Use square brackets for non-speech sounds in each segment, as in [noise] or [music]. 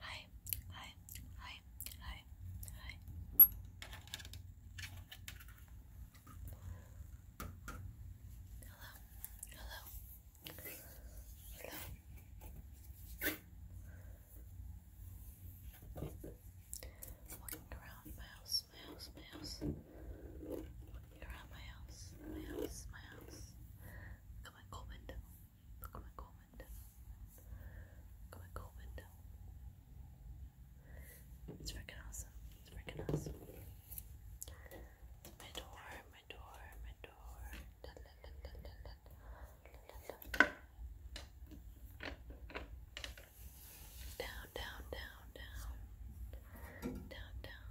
Hi, hi, hi, hi, hi. Hello, hello, hello. Walking around my house, my house, my house. around my house, my house, my house. Look my cool window. Look at my comment down. Look at my comment down. It's freaking awesome. It's freaking awesome. My door, my door, my door. Da, da, da, da, da, da, da, da, da. Down, down, down, down. Down, down.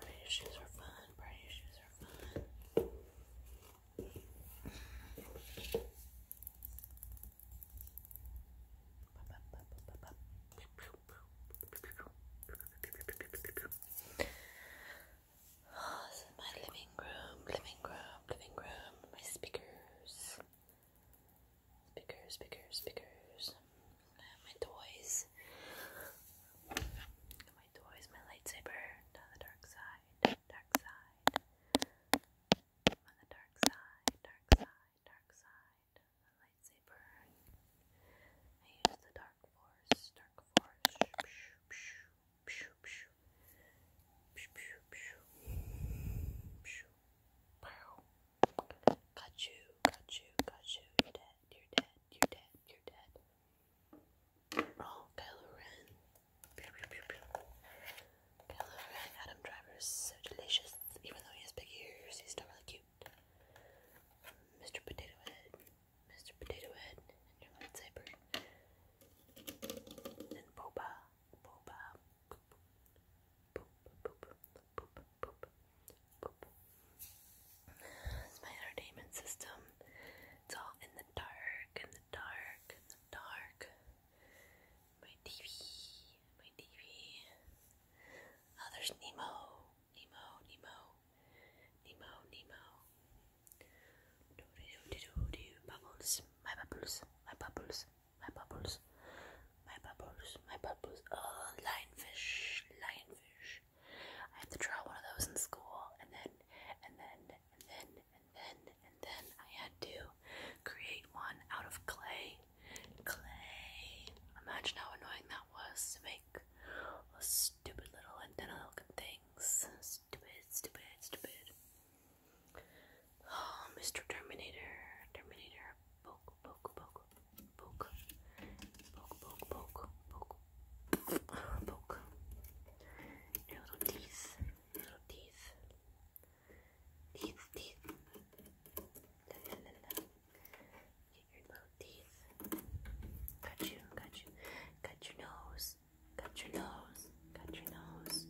Party shoes are fun. Party shoes are fun. Oh, my living room, living room, living room. My speakers, speakers, speakers, speakers my toys, my toys, my lightsaber on the dark side, dark side, on the dark side, dark side, dark side, my lightsaber. I use the dark force, dark force. Got you, got you, got you, you're dead you're dead, you're dead, you're dead. Oh, Kylo Ren. Kylo Ren, Adam Driver so delicious. Even though he has big ears, he's still really cute. Mr. Potato Head, Mr. Potato Head, and Boba, Boba, it's my entertainment system. It's all in the dark, in the dark, in the dark. My TV, my TV. Oh, there's Nemo, Nemo, Nemo, Nemo, Nemo. Do do do do do bubbles, my bubbles, my bubbles, my bubbles my bubbles, my bubbles. Oh, lionfish, lionfish. I have to draw one of those in school, and then, and then, and then, and then, and then I had to create one out of clay. Clay. Imagine how annoying that was to make a stupid little antenna looking thing. Stupid, stupid, stupid. Oh, Mr. Terminator, Terminator, poke, poke, poke, poke, poke, poke, poke, poke, poke, little teeth, little teeth, teeth, teeth, la la la la, get your little teeth, got you, got you, got your nose, got your nose, got your nose,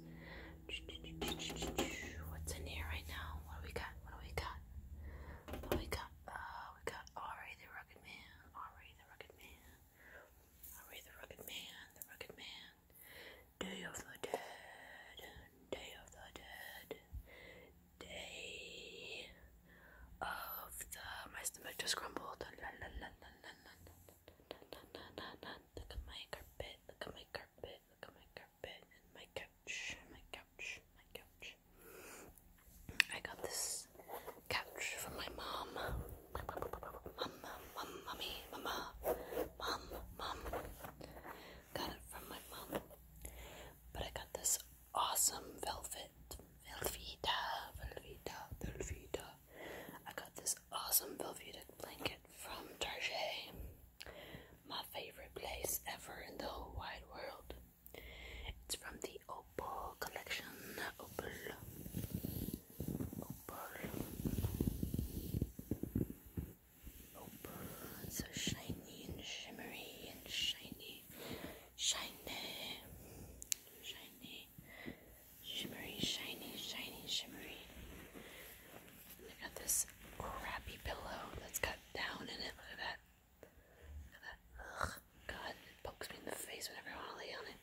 what's in here right now, what do we got, what do we got, what do we got? uh, we got Ari the Rugged Man, Ari the Rugged Man, Ari the Rugged Man, the Rugged Man, Day of the Dead, Day of the Dead, Day of the, my stomach just grumbled, look at my carpet, look at my carpet, look at my carpet bed my couch, my couch, my couch. I got this couch from my mom. Mom, mom, mommy, mama, mom, mom. Got it from my mom. But I got this awesome velvet, Velveeta, Velveeta, Velveeta. I got this awesome velveted blanket from Target. My favorite place ever in the whole wide world. It's from the Opal collection. Opal. Opal. Opal. so shiny and shimmery and shiny. Shiny. Shiny. Shimmery, shiny, shiny, shimmery. I got this crappy pillow that's got down in it. Look at that. And that, ugh, God, it pokes me in the face whenever I want to lay on it.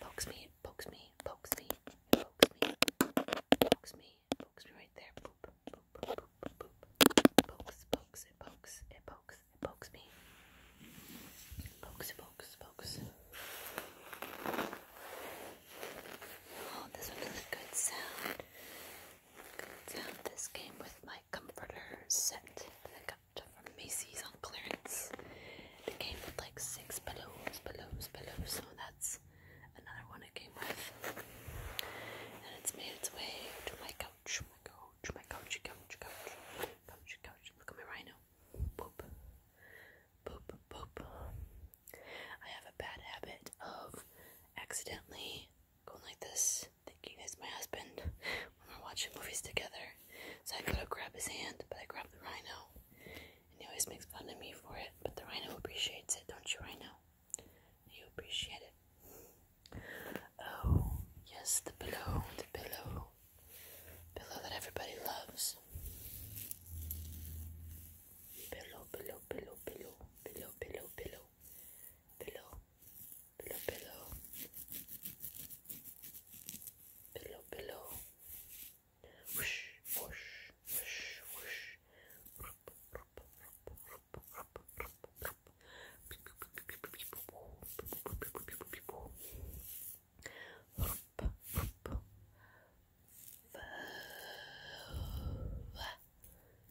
Pokes me, it pokes me, it pokes me, it pokes me, it pokes me, it pokes me right there. Boop, boop, boop, boop, boop. Pokes, pokes, it pokes, it pokes, it pokes me. Pokes, it pokes, pokes. Oh, this one is a good sound this game with my comforter set that I got from Macy's on clearance. It came with like six pillows, pillows, pillows, so that's another one it came with. And it's made its way to my couch, my couch, my couch, couch, couch, couch, couch. Look at my rhino. Boop. Boop, boop. I have a bad habit of accidentally going like this, thinking it's my husband when we're watching movies together. So I go to grab his hand, but I grab the rhino. And he always makes fun of me for it, but the rhino appreciates it, don't you, rhino? You appreciate it. Oh, yes, the pillow, the pillow. Pillow that everybody loves. Pillow, pillow, pillow, pillow, pillow, pillow, pillow, pillow, pillow, pillow, pillow, pillow, whoosh, whoosh, whoosh, whoosh, rup, rup, rup, rup, rup, rup, rup, rup, rup, rup, rup,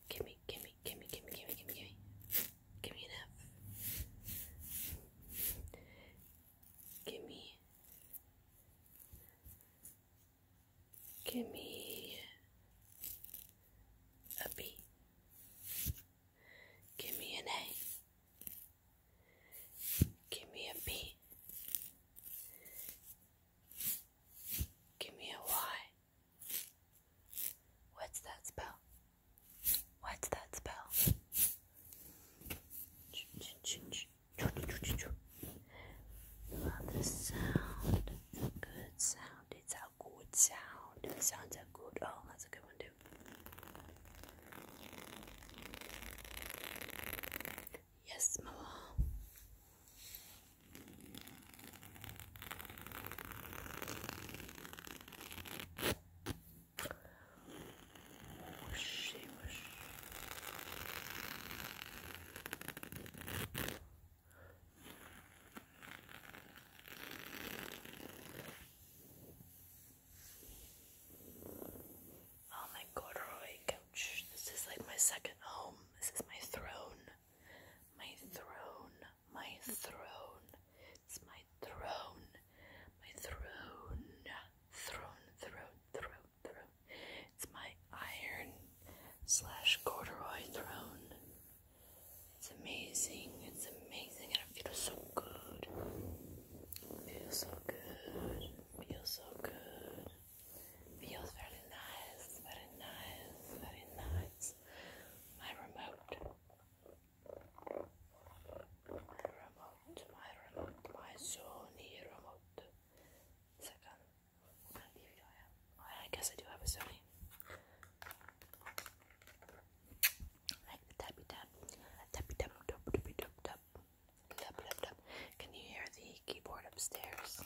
Gimme, gimme, gimme, gimme, gimme, gimme, gimme. Gimme enough. Gimme. Gimme a B. Gimme an A. Gimme a B. Gimme a Y. What's that spell? What's that spell? Well, the sound, it's a good sound. It's a good sound. The sounds are good. Oh, that's a good one too. Yes, Mama. Whoosh, whoosh. Oh my couch. This is like my second home. This is my throne my throne, my throne, it's my throne, my throne, throne, throne, throne, throne, it's my iron slash corduroy throne. It's amazing, it's amazing, and it feels so good. feels so good, feels so good. Feels very nice, very nice, very nice my remote. My remote, my remote, my Sony remote. Second, what TV I have? I guess I do have a Sony. Like the tappy tap, tappy tap, tap, tap, tap, tap, tap, tap. Can you hear the keyboard upstairs?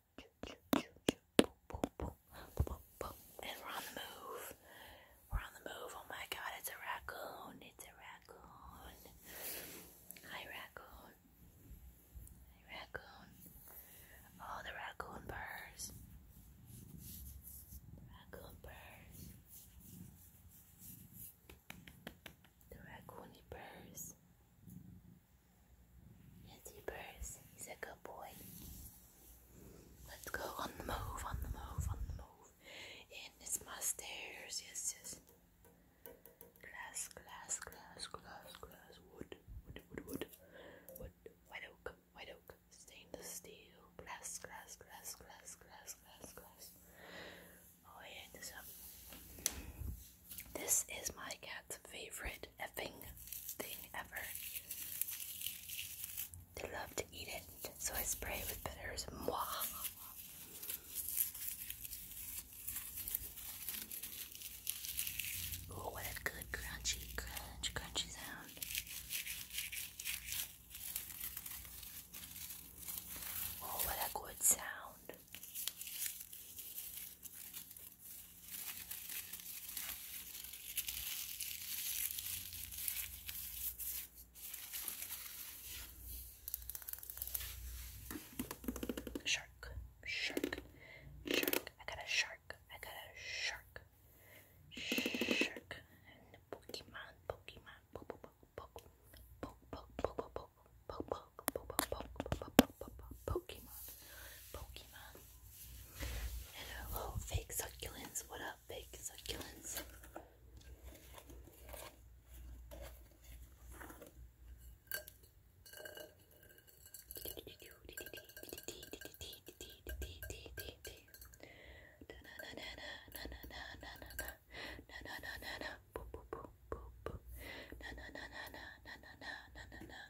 and we're on the move. We're on the move. Oh my god, it's a raccoon. It's a raccoon. Hi, raccoon. Hi, raccoon. Oh, the raccoon purrs. Raccoon purrs. The raccoon purrs. Yes, he burst. He's a good boy. Let's go on the move, on the move, on the move. In it's my stairs. Yes, yes. Glass, glass, glass, glass, glass. Wood, wood, wood, wood. Wood, white oak, white oak. Stainless steel. Glass, glass, glass, glass, glass, glass, Oh, yeah, this This is my cat's favorite effing thing ever. They love to eat it, so I spray it with bitters. Mwah. Oh, what a good crunchy, crunch, crunchy sound. Oh, what a good sound. Shark, shark, shark. I got a shark. I got a shark. Shark and the Pokemon, Pokemon, poke, poke, poke, poke, poke, poke, poke, poke, poke, poke, poke, poke, poke, poke, Pokemon, Pokemon, Hello, fake succulents. What up, fake succulents?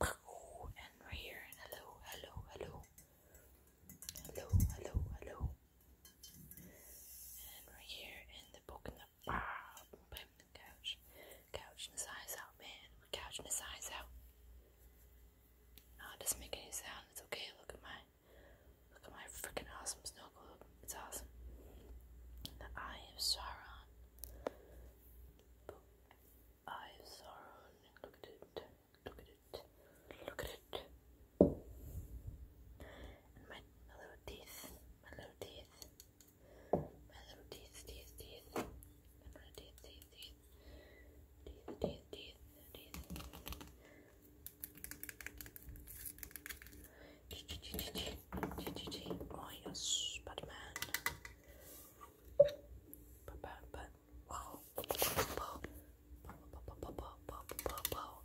and right here, hello, hello, hello, hello, hello, hello, and right here, and the book in the bar, ah, bam, the couch, couch his eyes out, man, couching his eyes out. No, it doesn't make any sound. It's okay. Look at my, look at my freaking awesome snow globe. It's awesome. The Eye Sauron eyes are on. Look at it. Look at it. Look at it. my, little teeth. My little teeth. My little teeth, teeth, teeth, teeth, teeth. Teeth, teeth, teeth, teeth.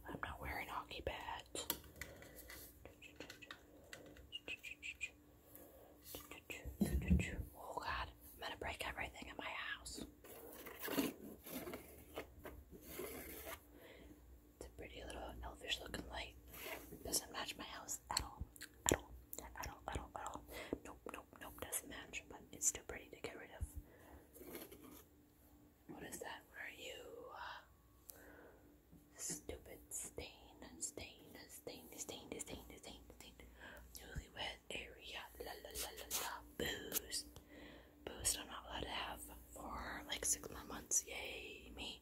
I'm not wearing hockey pads. Oh god, I'm gonna break everything in my house. It's a pretty little elfish looking light. Doesn't match my house at all at all, at all, at all, at all. Nope, nope, nope, doesn't match, but it's too pretty to get rid of. What is that? are you? Stupid stain, stain, stain, stain, stain, stain, stain. Newlywed area, la la la la la. Booze, booze. I'm not allowed to have for like six more months. Yay me.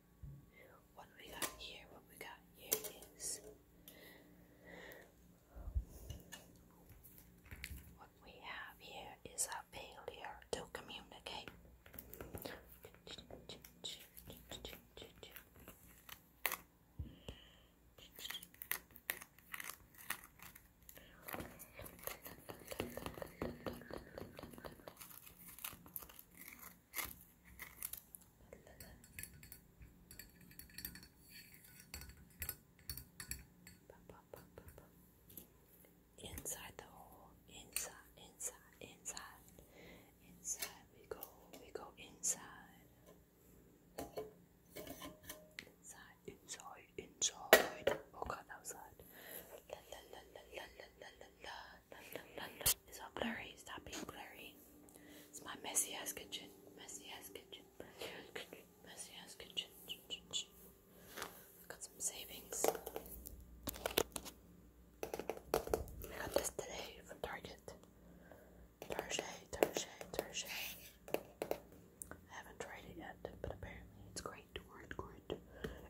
what we got here, what we got here is what we have here is a failure to communicate. Inside the hole, inside, inside, inside, inside. We go, we go inside, inside, inside, inside. Oh God, that was loud. La la la la la la la la la la la. It's all blurry. Stop being blurry. It's my messy ass kitchen. Messy ass kitchen. Messy ass kitchen. I've got some savings. I got this today from Target. Thursday, Thursday, Thursday. I haven't tried it yet, but apparently it's great. It's great.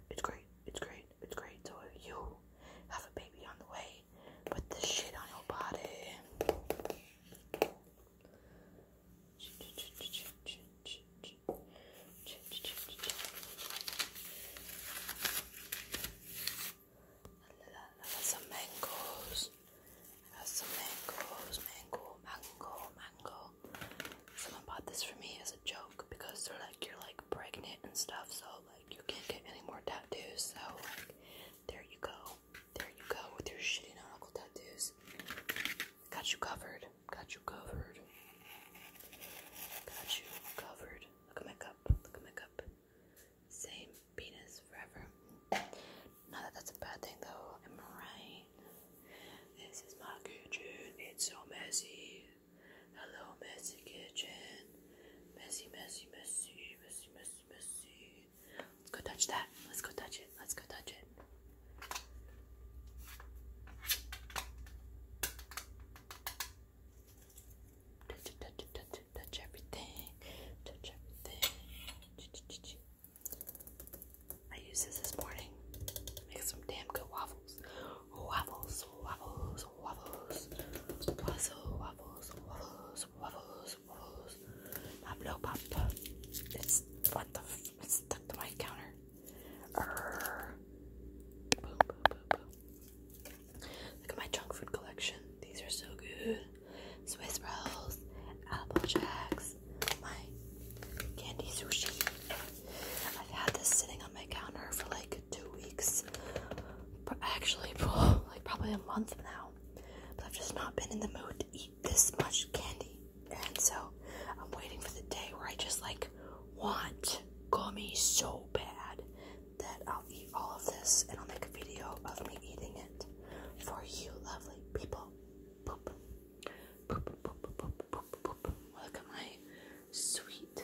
It's great. It's great. It's great. So if you have a baby on the way. Put this shit on your body. Some mangoes. Some mangoes, mango, mango, mango. Someone bought this for me as a joke because they're like you're like pregnant and stuff, so like you can't get any more tattoos, so like there you go. There you go with your shitty nautical tattoos. Got you covered. Got you covered. Got you covered. Look at my cup. Look at my cup. Same penis forever. Not that that's a bad thing though. Am I right? This is my kitchen. It's so messy. Hello, messy kitchen. Messy, messy, messy, messy, messy, messy. Let's go touch that. Let's go touch it. Let's go touch it. Touch it, touch it, touch it, touch everything. Touch everything. I used this this morning. Make some damn good waffles. Waffles, waffles, waffles, waffle, waffles, waffles, waffles, waffles. My blow pop, it's what the f it's stuck to my counter. Err. Boom, boom, boom, boom. Look at my junk food collection. These are so good. Swiss rolls, apple jacks, my candy sushi. I've had this sitting on my counter for like two weeks actually [laughs] like probably a month now, but I've just not been in the mood to eat this much candy, and so I'm waiting for the day where I just like want gummy so bad that I'll eat all of this and I'll make a video of me eating it for you lovely people. Boop. my sweet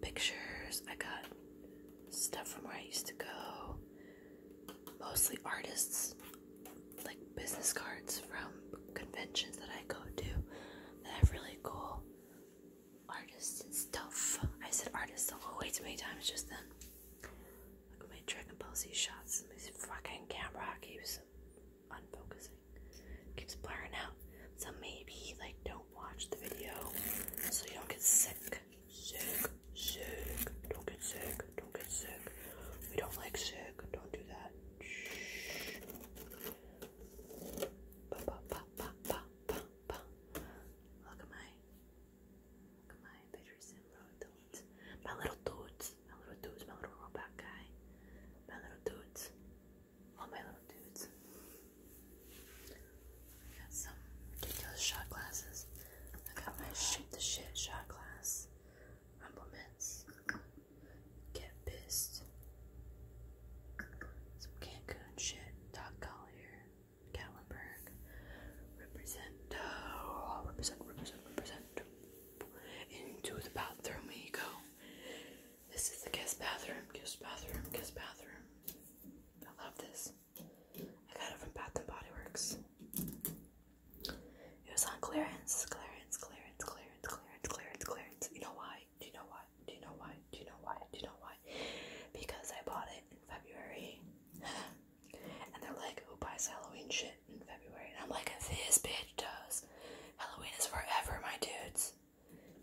pictures. I got stuff from where I used to go. Mostly artists, like business cards from conventions that I go to that have really cool artists and stuff. I said artists way too many times just then. Look at my Dragon Ball Z shots. This fucking camera keeps unfocusing, keeps blurring out. So maybe like don't watch the video so you don't get sick. Sick, sick. Don't get sick. Don't get sick. We don't like sick. Don't do that. Shh. Look at my, look at my pictures and little My little dudes. My little dudes. My little robot guy. My little dudes. All my little dudes got some ridiculous shot glasses. I got my shoot the shit shot glass. Rumblements. Get pissed. Some Cancun shit. Dog collar. Gatlinburg. Represent. Oh, represent, represent, represent. Into the bathroom we go. This is the guest bathroom, guest bathroom, guest bathroom. I love this. I got it from Bath and Body Works. It was on clearance, clearance, clearance, clearance, clearance, clearance, clearance. You know why? Do you know why? Do you know why? Do you know why? Do you know why? Because I bought it in February. [laughs] and they're like, who buys Halloween shit in February? And I'm like, this bitch does. Halloween is forever, my dudes.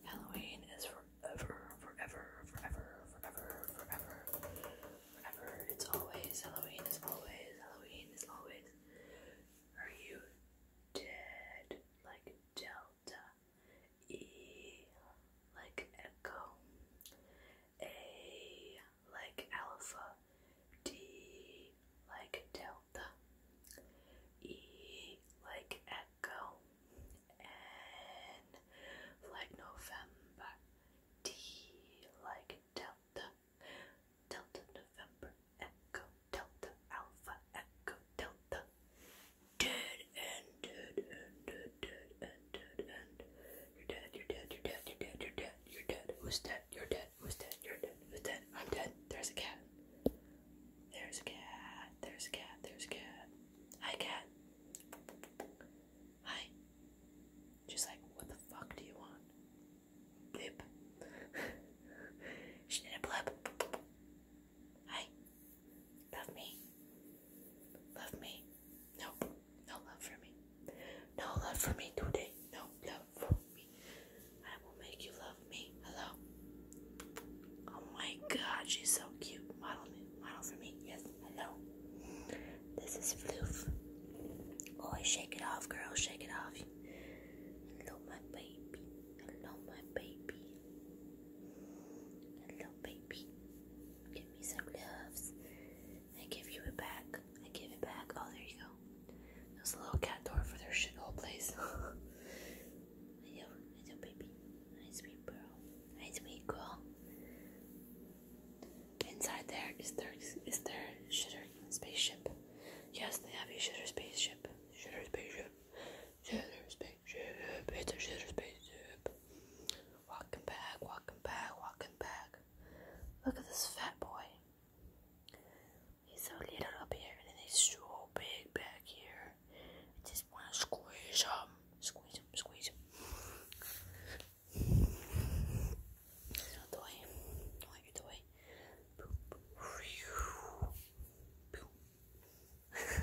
Halloween is forever, forever, forever, forever, forever, forever. It's always Halloween is always Halloween is always. Are you dead like Delta? E like Echo. A like Alpha. D like Delta. E like let go and like November D like Delta Delta November Echo Delta Alpha Echo Delta Dead and dead and dead dead and dead and you're dead you're dead you're dead you're dead you're dead you're dead who's dead you're dead who's dead you're dead who's dead I'm dead there's a cat there's a cat there's a cat there's a cat hi cat Hi. She's like, what the fuck do you want? Blip. [laughs] she did a blip. Hi. Love me. Love me. No. No love for me. No love for me today. No love for me. I will make you love me. Hello. Oh my god, she's so cute. Model me, model for me. Yes, I know. This is Floof. Boy, shake it off, girl, shake it off. Hello, my baby. Hello, my baby. Hello, baby. Give me some loves. I give you it back. I give it back. Oh, there you go. There's a little cat door for their shithole place. [laughs] Hello, hello baby. Ice cream pearl. Ice cream girl. Inside there is there is there shitter spaceship. Yes, they have a shitter spaceship. Shitter spaceship. Shitter spaceship. It's a shitter spaceship. Walking back, walking back, walking back. Look at this fat boy. He's so little up here and he's so big back here. I just want to squeeze him. Squeeze him, squeeze him. Not the way. Not the way. [laughs]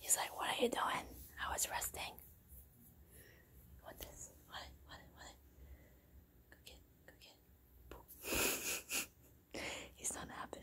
He's like, what are you doing? I was resting. What this? What What What Go get Go get [laughs] He's not happy